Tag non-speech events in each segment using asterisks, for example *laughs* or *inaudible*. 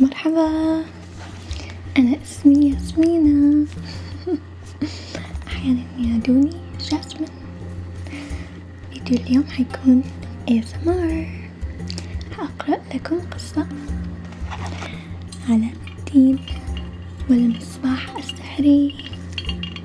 مرحبا أنا اسمي ياسمينة *laughs* أحيانا ينادوني جاسمين فيديو اليوم حيكون ASMR حأقرأ لكم قصة علاء الدين والمصباح السحري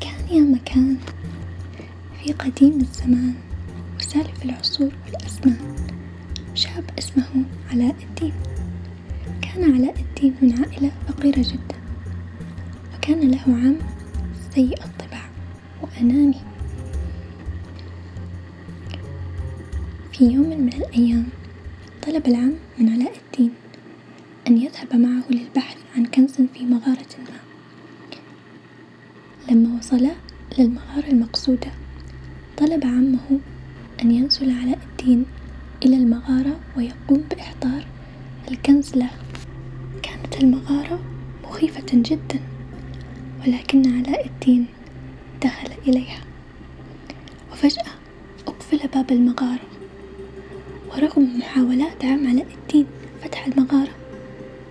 كان يا مكان في قديم الزمان وسالف العصور والأزمان شاب اسمه علاء الدين كان علاء الدين من عائلة فقيرة جدا وكان له عم سيء الطباع وأناني في يوم من الأيام طلب العم من علاء الدين أن يذهب معه للبحث عن كنز في مغارة ما لما وصلا للمغارة المقصودة طلب عمه أن ينزل علاء الدين إلى المغارة ويقوم بإحضار الكنز له كانت المغارة مخيفة جدا ولكن علاء الدين دخل إليها وفجأة أقفل باب المغارة ورغم محاولات عم علاء الدين فتح المغارة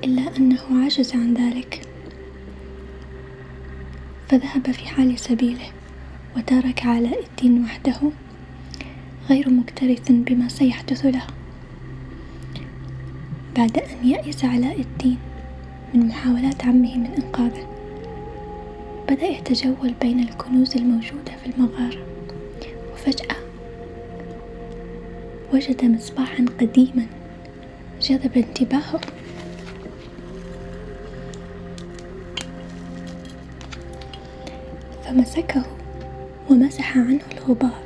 إلا أنه عجز عن ذلك فذهب في حال سبيله وترك علاء الدين وحده غير مكترث بما سيحدث له بعد أن يأس علاء الدين من محاولات عمه من إنقاذه بدأ يتجول بين الكنوز الموجودة في المغارة وفجأة وجد مصباحا قديما جذب انتباهه فمسكه ومسح عنه الغبار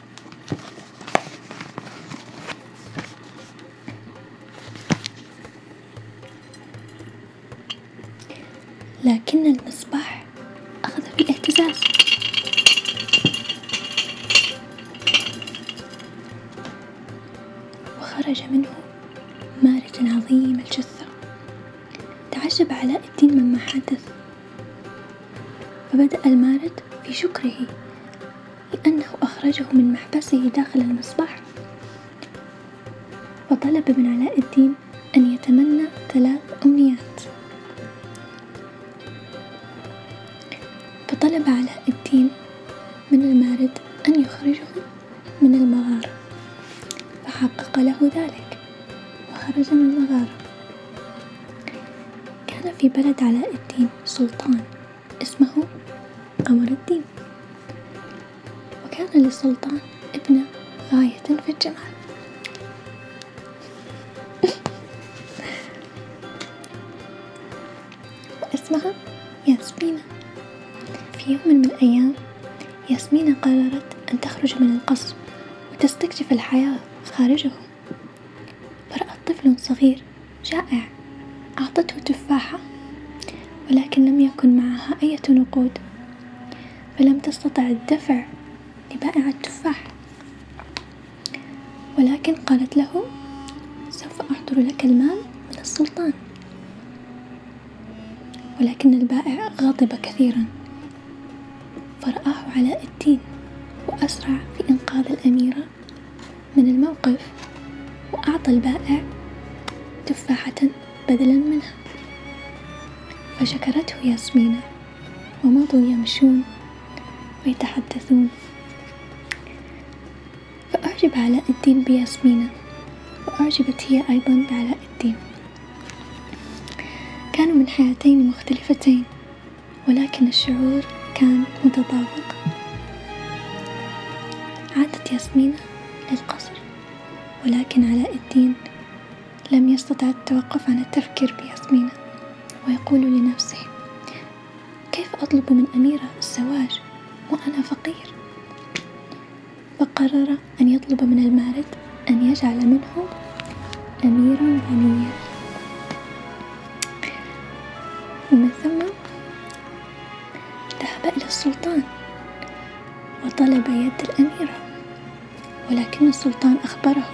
لكن المصباح أخذ في اهتزاز وخرج منه مارج عظيم الجثة تعجب علاء الدين مما حدث فبدأ المارد في شكره لأنه أخرجه من محبسه داخل المصباح وطلب من علاء الدين أن يتمنى ثلاث أمنيات فطلب علاء الدين من المارد أن يخرجه من المغارة فحقق له ذلك وخرج من المغارة كان في بلد علاء الدين سلطان اسمه قمر الدين وكان للسلطان ابنة غاية في الجمال *laughs* واسمها ياسمينة في يوم من الأيام ياسمينة قررت أن تخرج من القصر وتستكشف الحياة خارجه فرأت طفل صغير جائع أعطته تفاحة ولكن لم يكن معها أية نقود فلم تستطع الدفع لبائع التفاح ولكن قالت له سوف أحضر لك المال من السلطان ولكن البائع غضب كثيرا فرآه علاء الدين وأسرع في إنقاذ الأميرة من الموقف وأعطى البائع تفاحة بدلا منها فشكرته ياسمينة ومضوا يمشون ويتحدثون فأعجب علاء الدين بياسمينة وأعجبت هي أيضا بعلاء الدين كانوا من حياتين مختلفتين ولكن الشعور كان متطابق عادت ياسمينة للقصر ولكن علاء الدين لم يستطع التوقف عن التفكير بياسمينة ويقول لنفسه كيف أطلب من أميرة الزواج وأنا فقير فقرر أن يطلب من المارد أن يجعل منه أميرا غنيا ومن ثم ذهب إلى السلطان وطلب يد الأميرة ولكن السلطان أخبره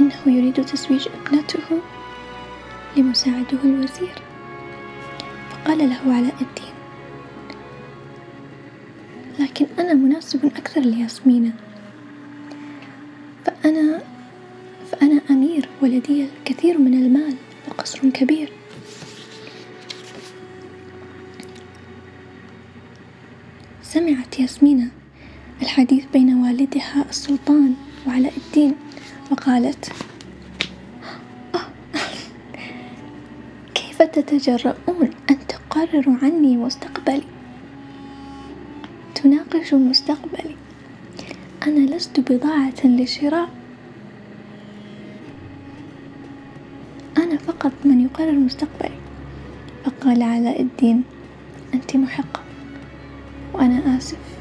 إنه يريد تزويج ابنته لمساعده الوزير فقال له علاء الدين لكن أنا مناسب أكثر لياسمينة فأنا فأنا أمير ولدي الكثير من المال وقصر كبير سمعت ياسمينة الحديث بين والدها السلطان وعلاء الدين وقالت آه، كيف تتجرؤون أن تقرروا عني مستقبلي تناقش مستقبلي أنا لست بضاعة للشراء أنا فقط من يقرر مستقبلي فقال علاء الدين أنت محقة وأنا آسف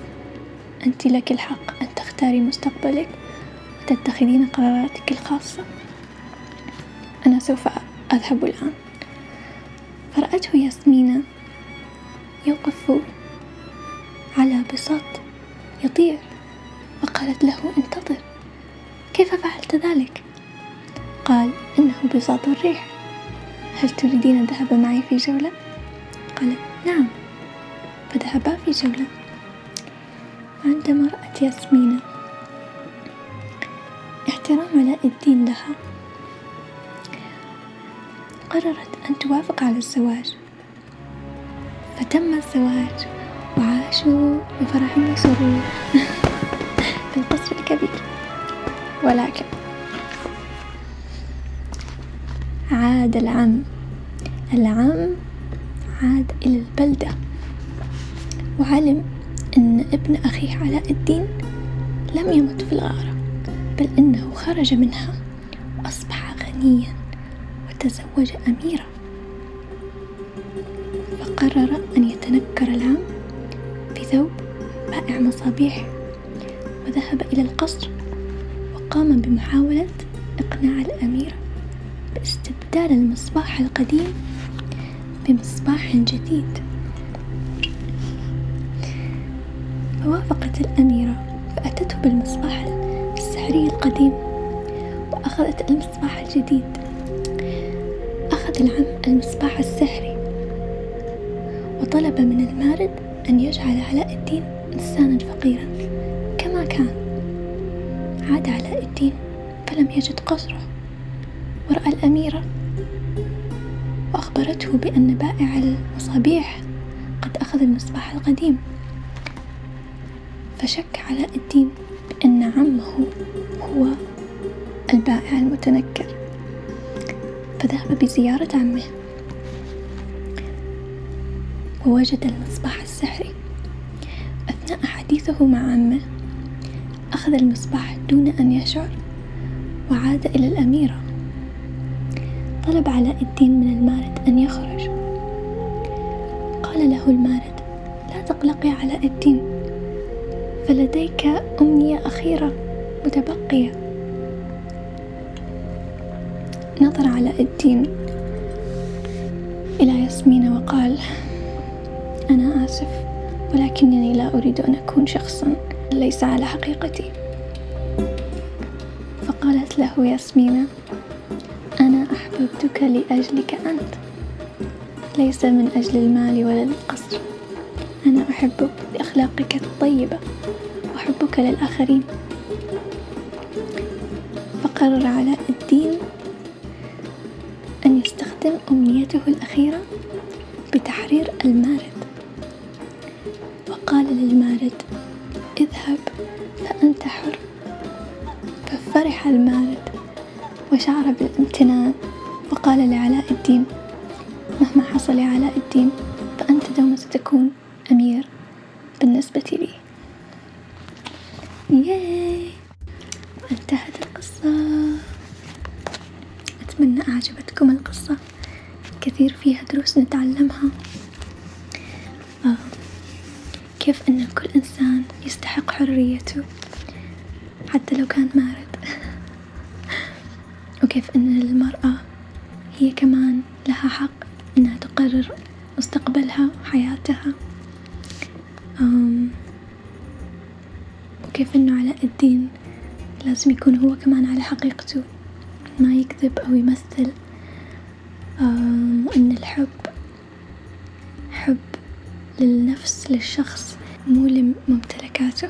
أنت لك الحق أن تختاري مستقبلك وتتخذين قراراتك الخاصة أنا سوف أذهب الآن فرأته ياسمينة يقف على بساط يطير وقالت له انتظر كيف فعلت ذلك قال انه بساط الريح هل تريدين الذهاب معي في جوله قالت نعم فذهبا في جوله عندما رات ياسمينه احترام علاء الدين لها قررت أن توافق على الزواج فتم الزواج وعاشوا بفرح وسرور *laughs* في القصر الكبير ولكن عاد العم العم عاد إلى البلدة وعلم أن ابن أخيه علاء الدين لم يمت في الغارة بل إنه خرج منها وأصبح غنيا وتزوج أميرة فقرر أن يتنكر العام بثوب بائع مصابيح وذهب إلى القصر وقام بمحاولة إقناع الأميرة باستبدال المصباح القديم بمصباح جديد فوافقت الأميرة فأتته بالمصباح السحري القديم وأخذت المصباح الجديد أخذ العم المصباح السحري وطلب من المارد أن يجعل علاء الدين إنسانا فقيرا كما كان عاد علاء الدين فلم يجد قصره ورأى الأميرة فأخبرته بأن بائع المصابيح قد أخذ المصباح القديم فشك علاء الدين بأن عمه هو البائع المتنكر فذهب بزيارة عمه ووجد المصباح السحري أثناء حديثه مع عمه أخذ المصباح دون أن يشعر وعاد إلى الأميرة طلب علاء الدين من المارد أن يخرج قال له المارد لا تقلقي علاء الدين فلديك أمنية أخيرة متبقية نظر علاء الدين إلى ياسمين وقال أنا آسف ولكنني لا أريد أن أكون شخصا ليس على حقيقتي فقالت له ياسمينة أنا أحببتك لأجلك أنت ليس من أجل المال ولا القصر أنا أحبك لأخلاقك الطيبة وحبك للآخرين فقرر علاء الدين أن يستخدم أمنيته الأخيرة بتحرير المارد وقال للمارد اذهب فأنت حر ففرح المارد وشعر بالامتنان وقال لعلاء الدين مهما حصل يا علاء الدين فأنت دوما ستكون أمير بالنسبة لي ياي وانتهت القصة أتمنى أعجبتكم القصة كثير فيها دروس نتعلمها آه، كيف أن كل إنسان يستحق حريته حتى لو كان مارد *laughs* وكيف أن المرأة هي كمان لها حق أنها تقرر مستقبلها وحياتها وكيف أنه على الدين لازم يكون هو كمان على حقيقته ما يكذب أو يمثل أن الحب حب للنفس للشخص مو لممتلكاته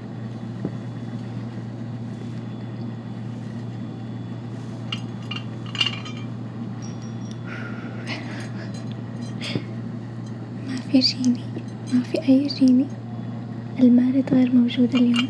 ما في جيني ما في أي جيني المارد غير موجود اليوم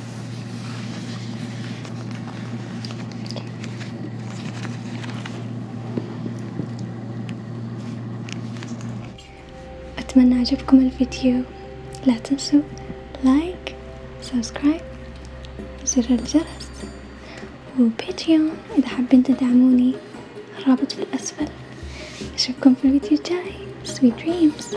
أتمنى عجبكم الفيديو لا تنسوا لايك سبسكرايب زر الجرس وباتريون إذا حابين تدعموني الرابط في الأسفل أشوفكم في الفيديو الجاي sweet dreams